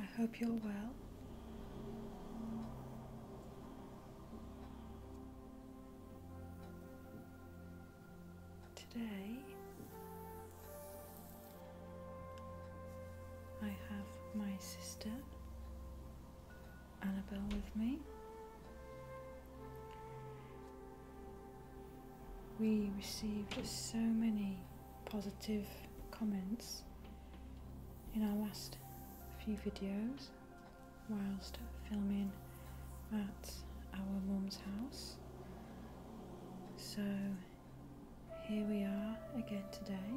I hope you're well. Today, I have my sister Annabelle with me we received so many positive comments in our last few videos whilst filming at our mum's house. So here we are again today.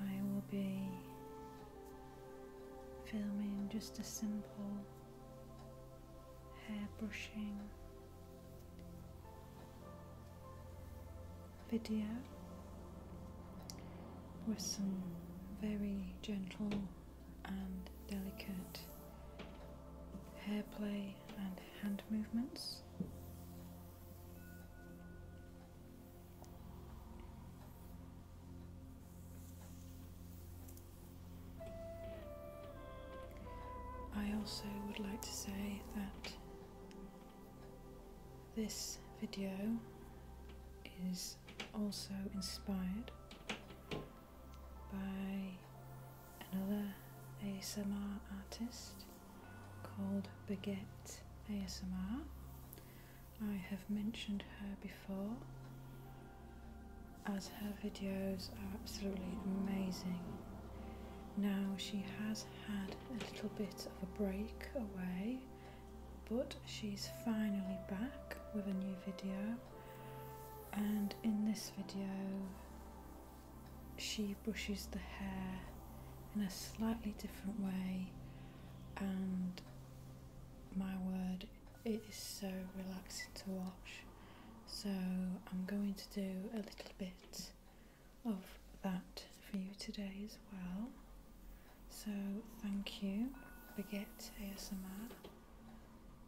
I will be filming just a simple hair brushing video with some very gentle and delicate hair play and hand movements. I also would like to say that this video is also inspired by another ASMR artist called Baguette ASMR. I have mentioned her before as her videos are absolutely amazing. Now she has had a little bit of a break away but she's finally back with a new video and in this video she brushes the hair in a slightly different way, and my word, it is so relaxing to watch. So, I'm going to do a little bit of that for you today as well. So, thank you, Baguette ASMR,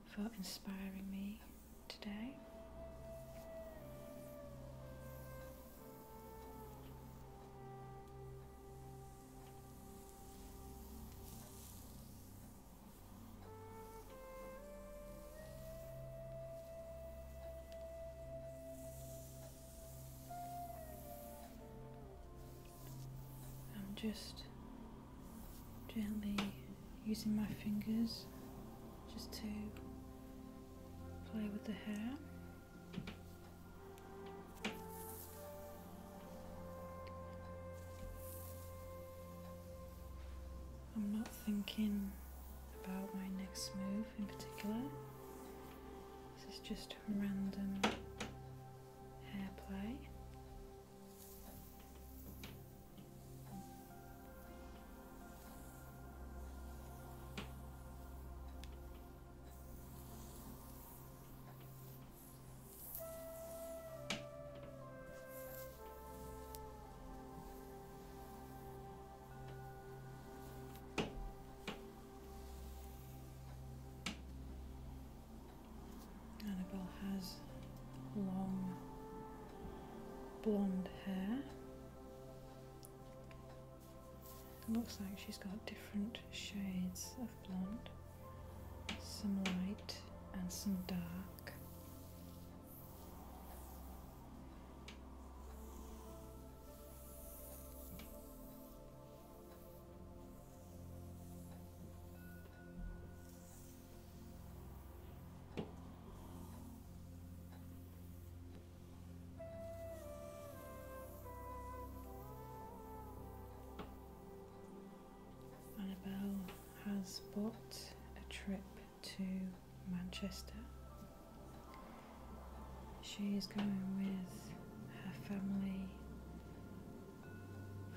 for inspiring me today. I'm just gently using my fingers just to play with the hair. I'm not thinking about my next move in particular. This is just random hair play. Annabelle has long blonde hair. looks like she's got different shades of blonde, some light and some dark. Annabelle has booked a trip to Manchester. She's going with her family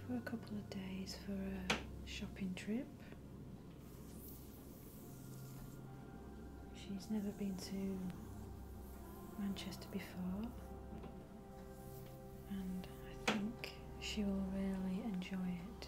for a couple of days for a shopping trip. She's never been to Manchester before, and I think she will really enjoy it.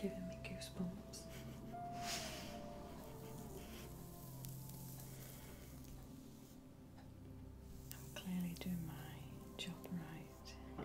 Giving me goosebumps. I'm clearly doing my job right.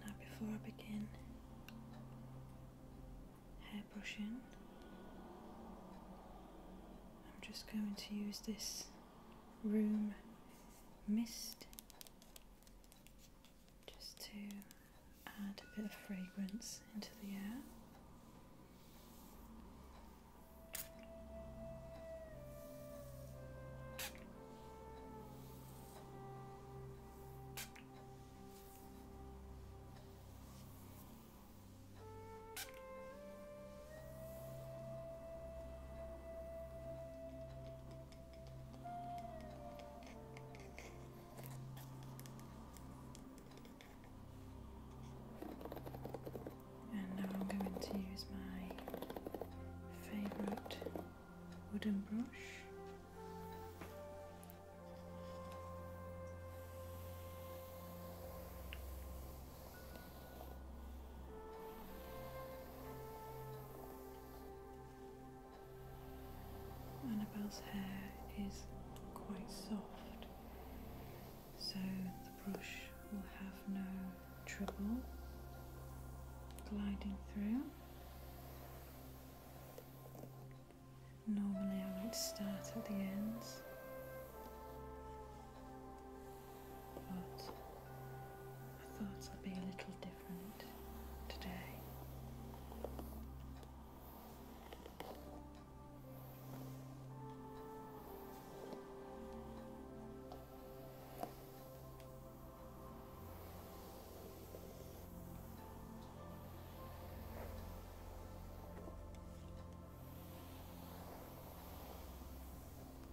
Now, before I begin hair brushing, I'm just going to use this room mist just to add a bit of fragrance into the air. And now I'm going to use my favourite wooden brush. Annabelle's hair is quite soft, so the brush will have no trouble gliding through. Normally, I would start at the ends but I thought i be a little different today.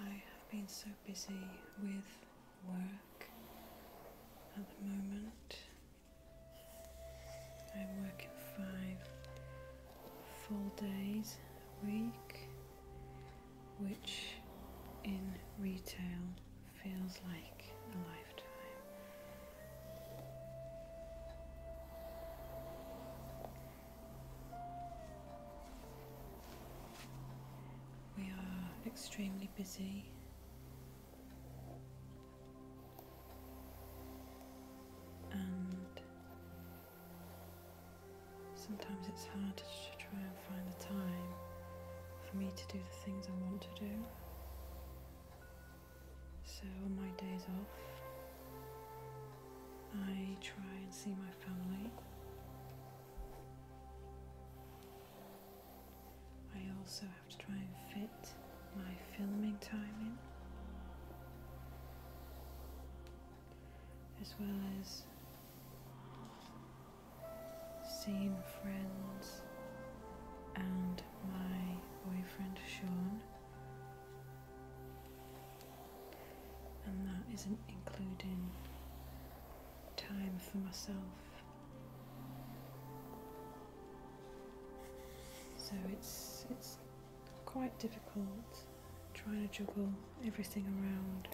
I have been so busy with work at the moment. I am working five full days a week, which in retail feels like a lifetime. We are extremely busy. And sometimes it's hard to try and find the time for me to do the things I want to do. So, on my days off, I try and see my family. I also have to try and fit my filming timing, as well as seeing friends and my boyfriend Sean, and that isn't including time for myself. So it's it's quite difficult trying to juggle everything around.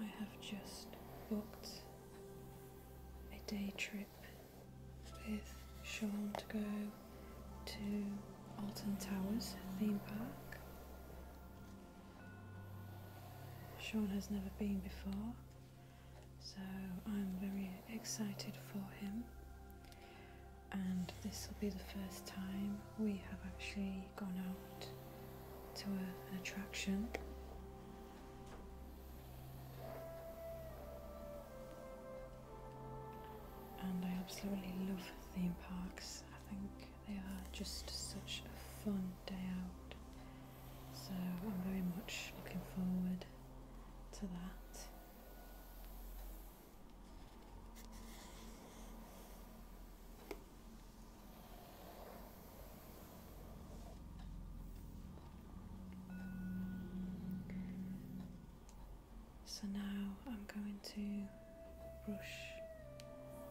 I have just booked a day trip with Sean to go to Alton Towers theme park Sean has never been before, so I'm very excited for him. And this will be the first time we have actually gone out to an attraction. And I absolutely love theme parks. I think they are just such a fun day out. So I'm very much looking forward to that. So now I'm going to brush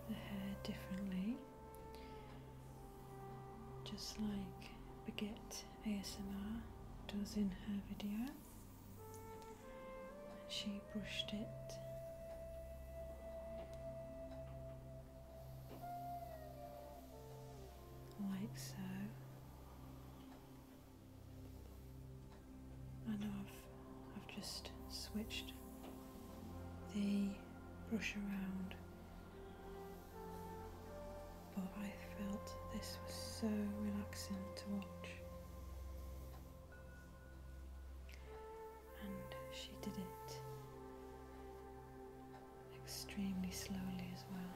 the hair differently just like Baguette ASMR does in her video. She brushed it like so. I I've just switched they brush around. But I felt this was so relaxing to watch. And she did it extremely slowly as well.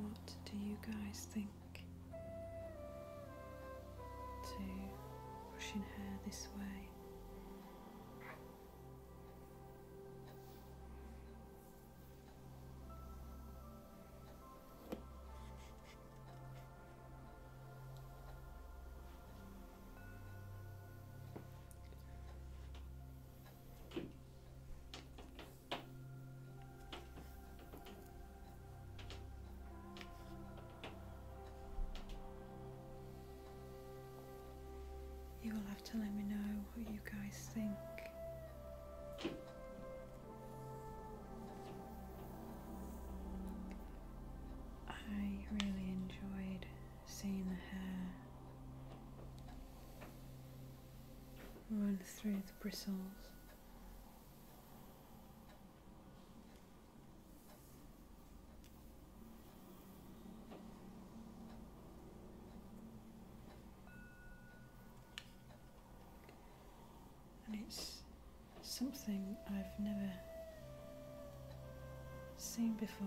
What do you guys think? To pushing her this way. You will have to let me know what you guys think. I really enjoyed seeing the hair run through the bristles and it's something I've never seen before.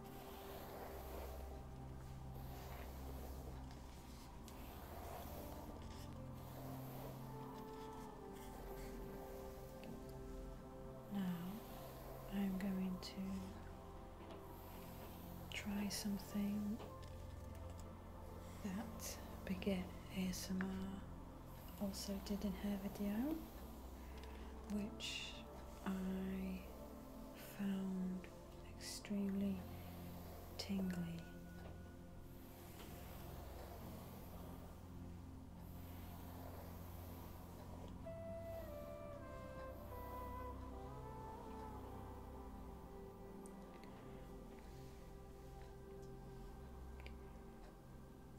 Now I'm going to try something that Begin ASMR also did in her video, which I found extremely tingly.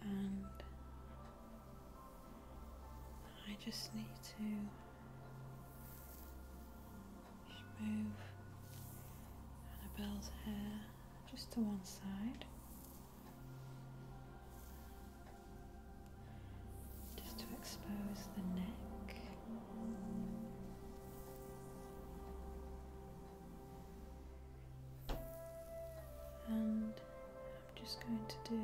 And I just need to move Annabelle's hair just to one side. Just to expose the neck. And I'm just going to do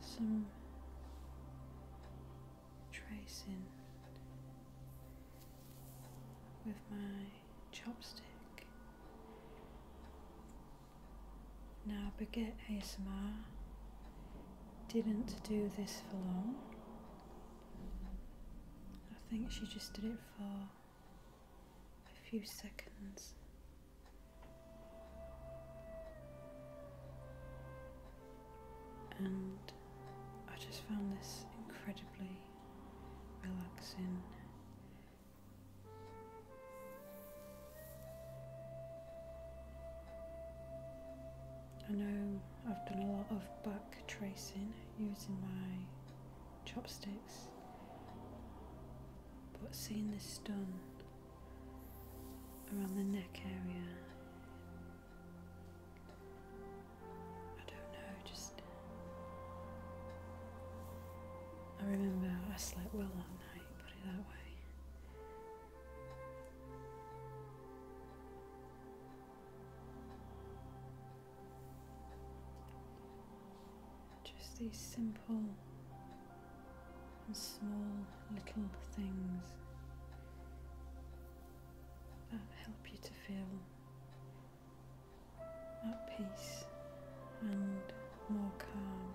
some tracing with my chopstick. Now, Baguette ASMR didn't do this for long. I think she just did it for a few seconds. And I just found this incredibly relaxing. I know I've done a lot of back tracing using my chopsticks but seeing this done around the neck area I don't know just I remember I slept well that night put it that way just these simple and small little things that help you to feel at peace and more calm.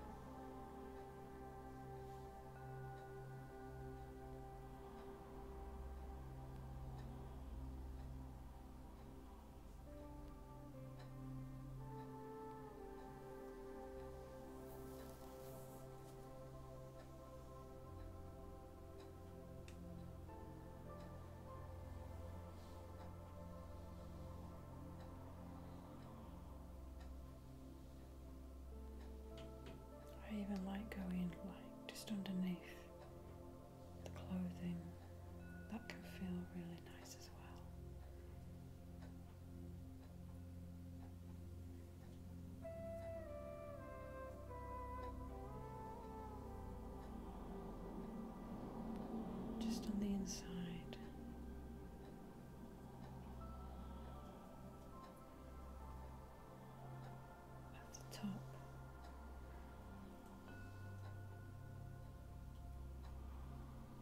I even like going like just underneath the clothing. That can feel really nice as well. Just on the inside. At the top.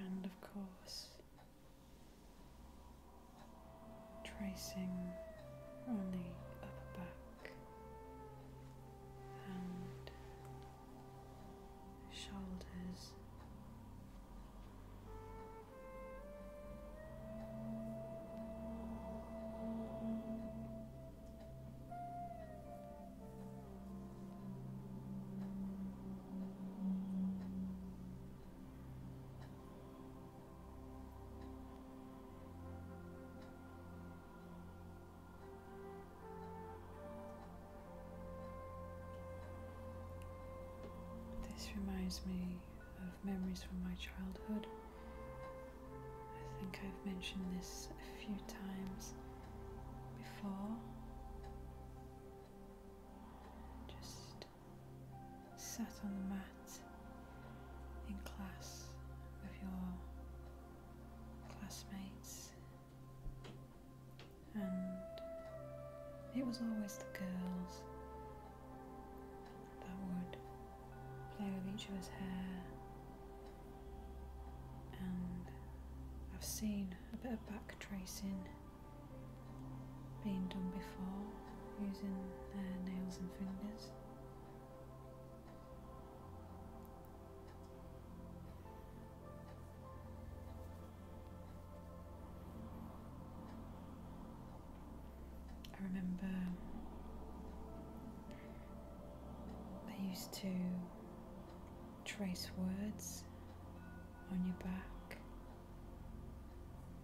And of course, tracing on the upper back shoulders. This reminds me of memories from my childhood. I think I've mentioned this a few times before. Just sat on the mat in class with your classmates face. And it was always the girls that would play with each other's hair. And I've seen a bit of back tracing being done before using their nails and fingers. I remember I used to trace words on your back,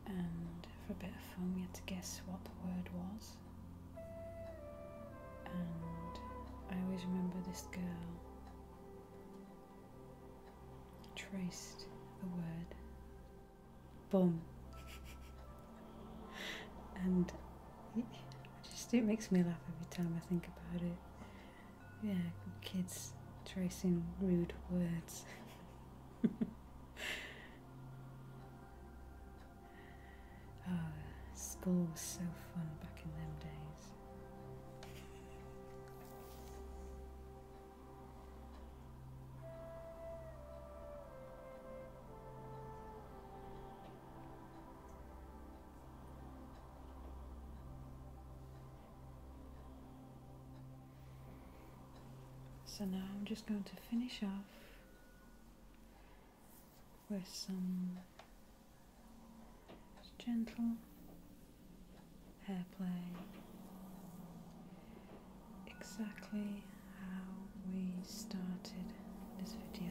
and for a bit of fun, you had to guess what the word was. And I always remember this girl traced the word bum. and it just it makes me laugh every time I think about it. Yeah, kids tracing rude words. Oh, school was so fun back in them days. So now I'm just going to finish off with some gentle hair play, exactly how we started this video.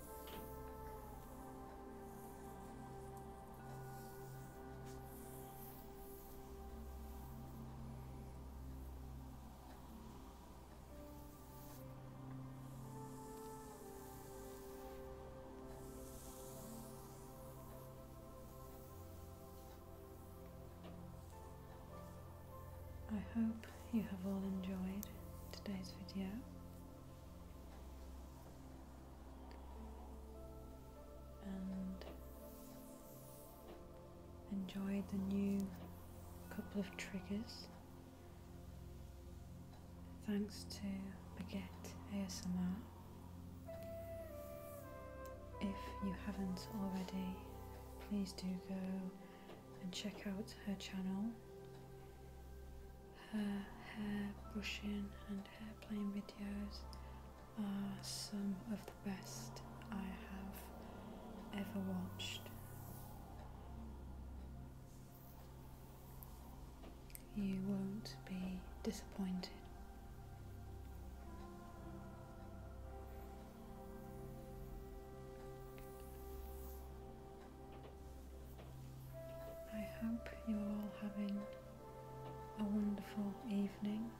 I hope you have all enjoyed today's video. Enjoyed the new couple of triggers. Thanks to Baguette ASMR. If you haven't already, please do go and check out her channel her hair brushing and hair playing videos are some of the best I have ever watched. You won't be disappointed. I hope you're all having a wonderful evening,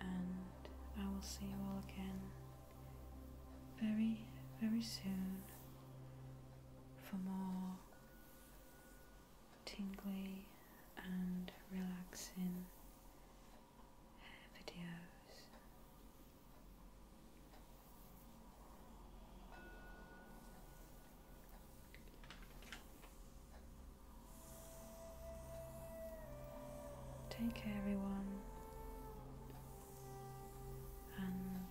and I will see you all again very, very soon for more tingly and relaxing videos. Take care, everyone, and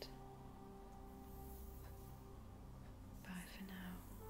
bye for now.